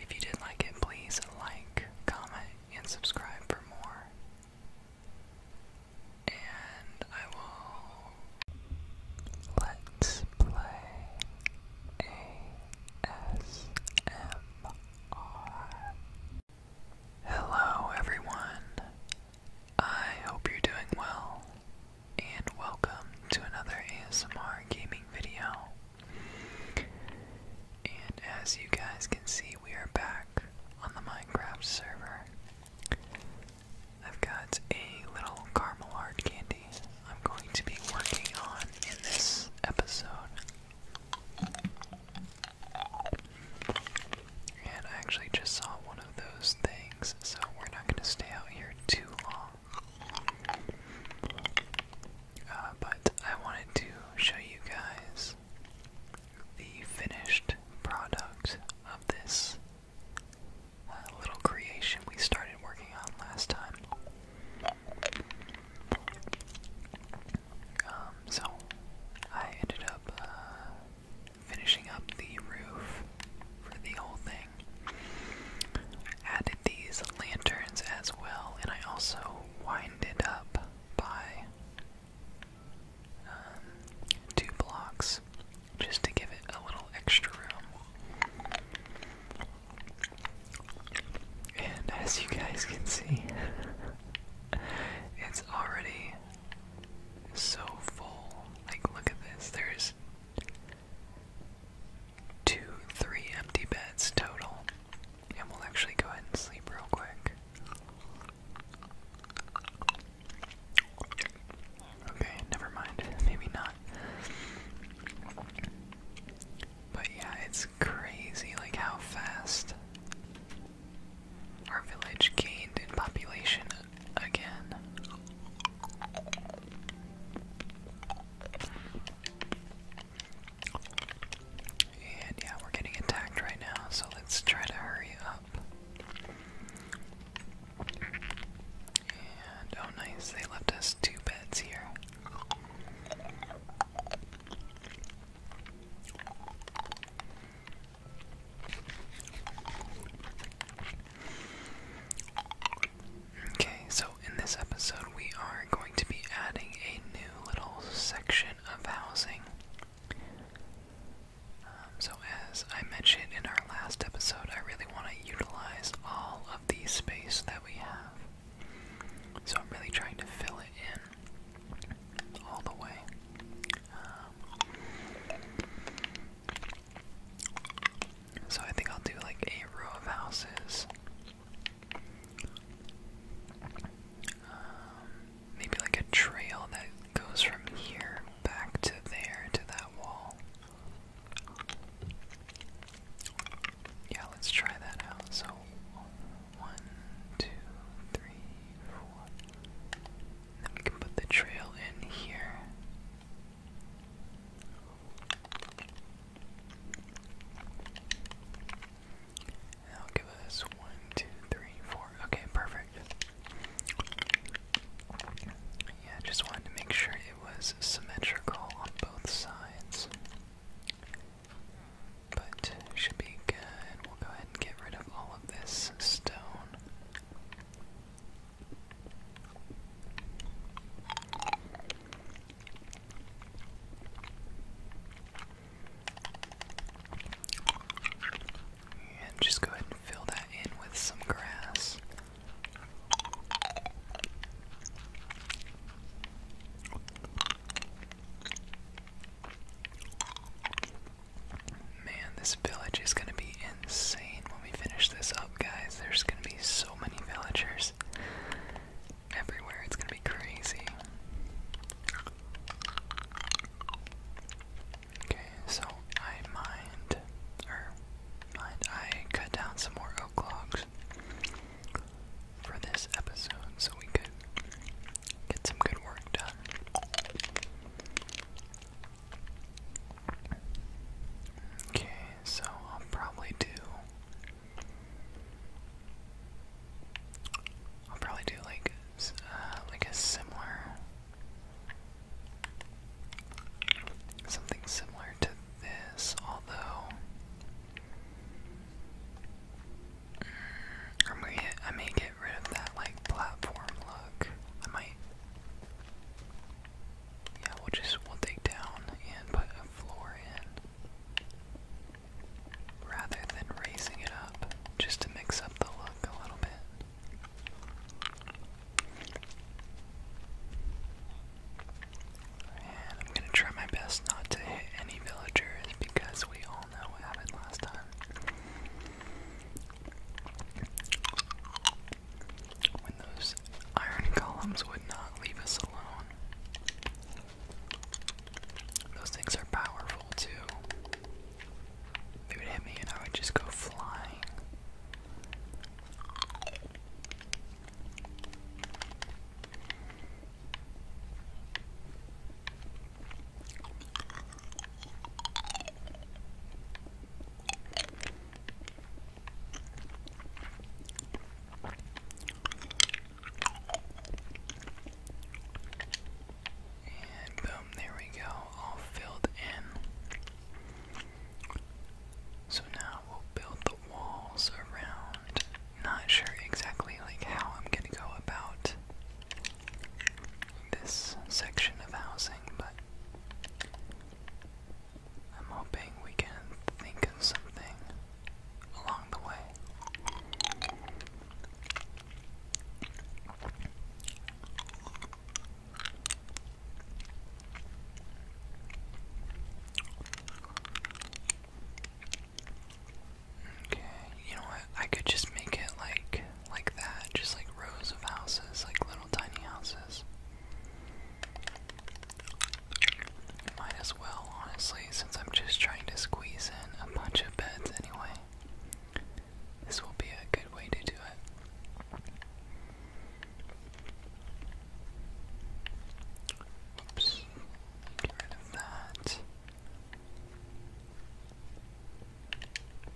If you did like it, please like, comment, and subscribe for more. And I will let's play ASMR. Hello, everyone. I hope you're doing well, and welcome to another ASMR gaming video. And as you guys can see, we are back on the Minecraft server. I've got a little caramel candy I'm going to be working on in this episode. And I actually just saw one of those things, so we're not going to stay out here too long. Uh, but I wanted to show you guys the finished product of this uh, little creation we started working on last time. Um, so I ended up uh, finishing up the roof for the whole thing added these lanterns as well, and I also winded up by um, two blocks just to give it a little extra room. And as you guys can see, it's already so full. Like, look at this. There's two, three empty beds total. And we'll actually go ahead and sleep real quick. Okay, never mind. Maybe not. But yeah, it's crazy like how fast our village gained in population again. And yeah, we're getting attacked right now, so let's try to hurry up. And oh, nice, they left us two beds here. Okay, so in this episode, we are going to be adding a new little section of housing. Um, so, as I mentioned in our last episode, I really want to utilize all of the space that we have. So, I'm really trying to fill it in all the way. Um, so, I think I'll do like a row of houses um, maybe like a trail that goes from here back to there to that wall. Yeah, let's try that out. So, one, two, three, four. then we can put the trail in here. I'll give us one, two, three, four. Okay, perfect. Yeah, just wanted to make sure it was symmetrical on both sides. But should be good. We'll go ahead and get rid of all of this stone. And just go ahead and fill that in with some grass. Man, this village is going to be insane when we finish this up, guys. There's going to be so many villagers everywhere. It's gonna be crazy. Okay, so I mined, or mined, I cut down some more oak logs for this episode so we could get some good work done. Okay, so I'll probably do I'll probably do like uh, like a similar something similar to this, although mm, I may I may get rid of that like platform look. I might yeah, we'll just we'll take down and put a floor in rather than raising it up just to mix up the look a little bit. I'm gonna try my best not to hit any villagers because we all know what happened last time. When those iron columns would not leave us those things are powerful too. They would hit me and I would just go flying. And boom, there we go, all filled in. So now we'll build the walls around. Not sure exactly like how I'm gonna go about this section of housing, but I'm hoping we can think of something along the way. Okay, you know what? I could just make it like like that, just like rows of houses, like little tiny houses. Might as well, honestly, since I'm just trying to squeeze in a bunch of beds anyway. This will be a good way to do it. Oops. Get rid of that.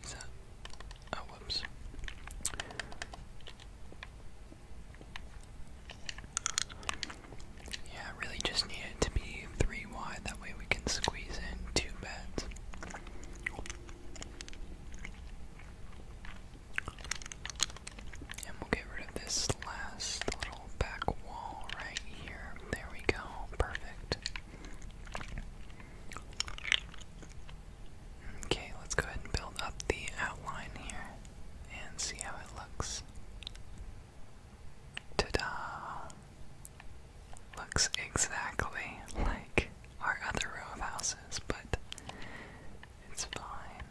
Is that? Oh, whoops. Yeah, really just need to be three wide, that way we can squeeze in two beds. And we'll get rid of this last little back wall right here. There we go, perfect. Okay, let's go ahead and build up the outline here and see how it looks. Ta-da! Looks exactly like our other row of houses, but it's fine.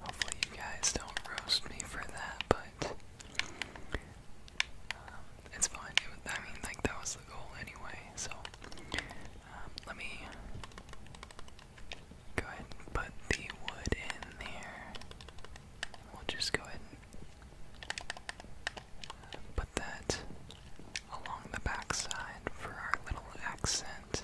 Hopefully you guys don't roast me for that, but um, it's fine. I mean, like that was the goal anyway. So um, let me Go ahead and put the wood in there. We'll just go ahead and put that along the backside for our little accent.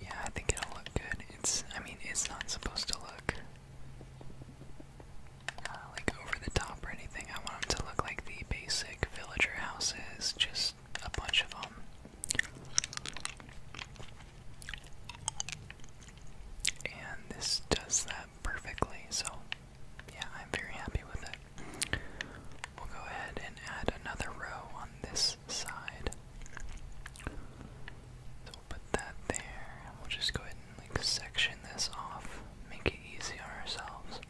Yeah, I think it'll look good. It's, I mean, it's not supposed to look uh, like over the top or anything. I want them to look like the basic villager houses, just a bunch of them. And this does that perfectly, so yeah, I'm very happy with it. We'll go ahead and add another row on this side. So we'll put that there, we'll just go ahead and like section this off, make it easy on ourselves.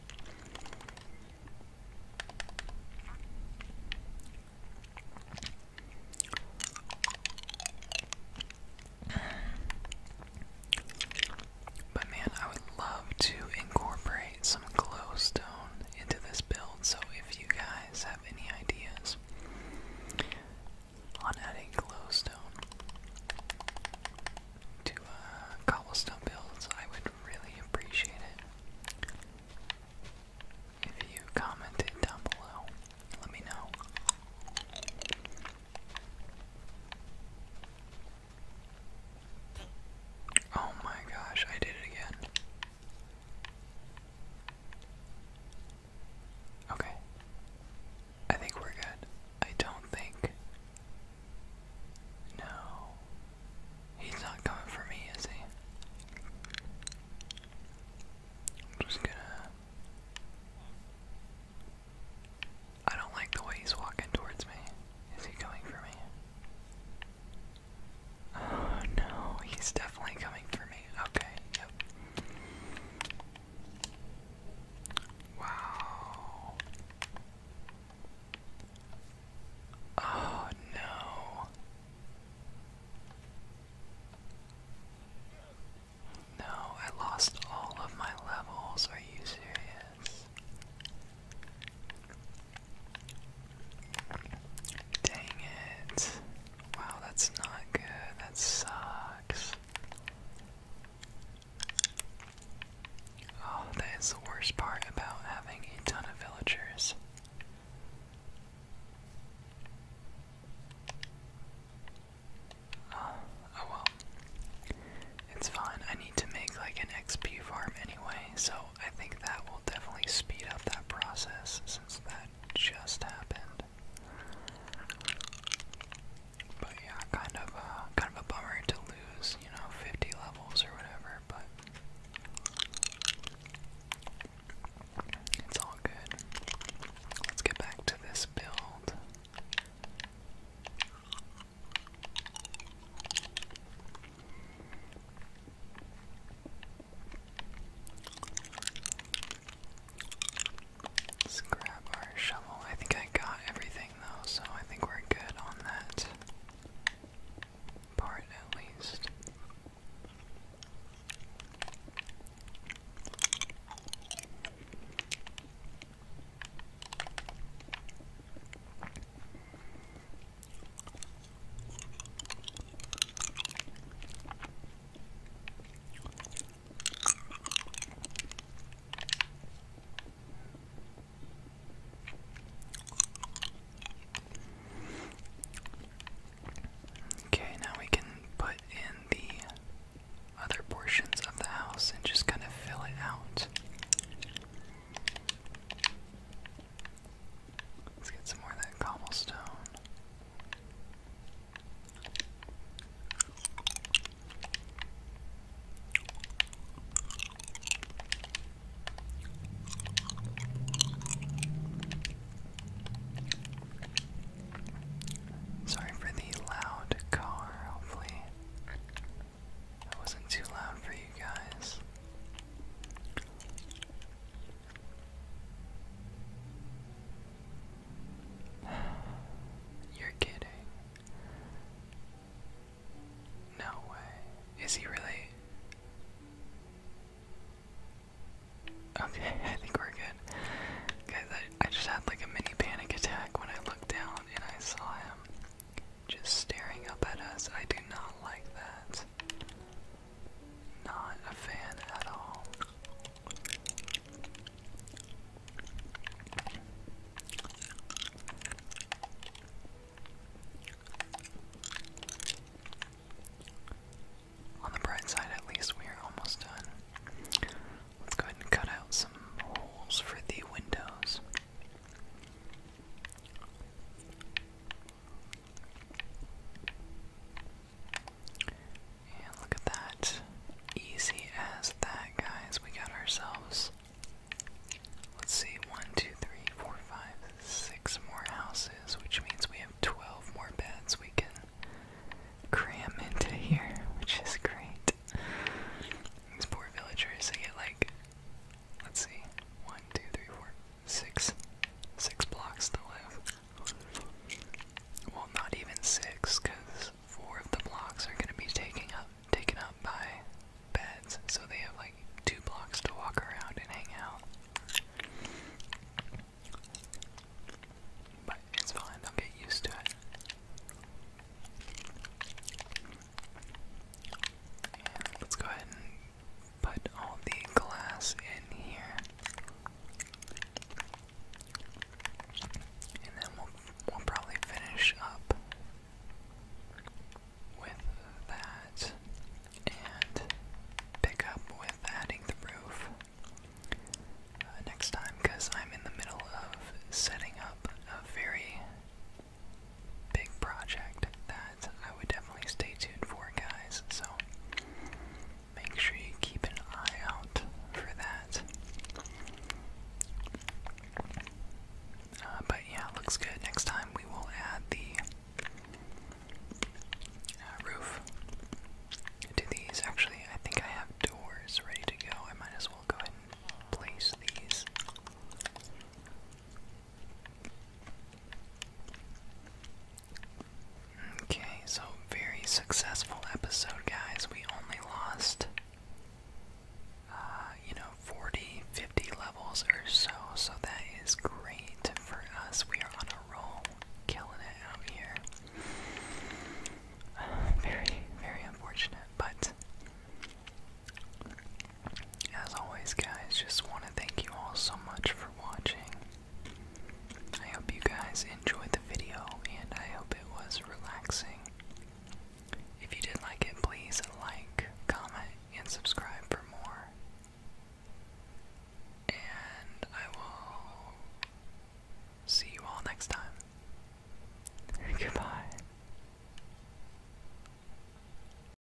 But man, I would love to incorporate some glowstone into this build, so if you guys have any ideas on adding glowstone to uh, cobblestone builds, I would really appreciate it. If you commented down below, let me know. Oh my gosh, I did it again. Okay. I think we're good. I don't think. No. He's not coming for me, is he? I'm just gonna. I don't like the way he's walking towards me. Is he coming for me? Oh no, he's definitely coming for me. Okay, yep. Wow. Oh no. No, I lost all of my levels. Are you serious? Dang it. Wow, that's not good. That sucks. Oh, that is the worst part about having a ton of villagers. oh, oh well. It's fine. I need to make like an XP farm anyway, so I think that definitely speed up that process since that just happened. But yeah, kind of uh, kind of a bummer to lose, you know, 50 levels or whatever, but it's all good. Let's get back to this build. Let's grab our shovel. I think I got everything though, so I think we're good on that part at least. Okay, now we can put in the other portions of the house and just kind of fill it out. Let's get some more of that cobblestone. Sorry for the loud car, hopefully. That wasn't too loud for you you guys. You're kidding. No way. Is he really? Okay, I think we're good. Guys, I, just had like a mini panic attack when I looked down and I saw him just staring up at us. I do not like that. Not a fan at all. On the bright side, at least we are almost done. Let's go ahead and cut out some holes for the windows. And look at that. Easy as that, guys. We got ourselves. Let's see, one, two, three, four, five, six more houses, which means we have 12 more beds we can cram into here, which is great. These poor villagers, they get like, let's see, one, two, three, four, Six. Six blocks to live. Well, not even six, because four of the blocks are gonna be taking up taken up by beds, so they have like two blocks to walk around and hang out. But it's fine, they'll get used to it. let's go ahead and Put all the glass in here. And then we'll, probably finish up with that and pick up with adding the roof uh, next time because I'm in the middle of setting up a very big project that I would definitely stay tuned for, guys. So make sure you keep an eye out for that. Uh, but yeah, looks good. Next time we will add the uh, roof to these. Actually, I think I have doors ready to go. I might as well go ahead and place these. Okay, so very successful episode, guys. We only lost, uh, you know, 40, 50 levels or so, so that is great for us. We are on a roll, killing it out here. very, very unfortunate, but as always, guys, just want to thank you all so much for watching. I hope you guys enjoyed the video and I hope it was relaxing. If you did like it, please like, comment, and subscribe for more. And I will see you all next time. Goodbye.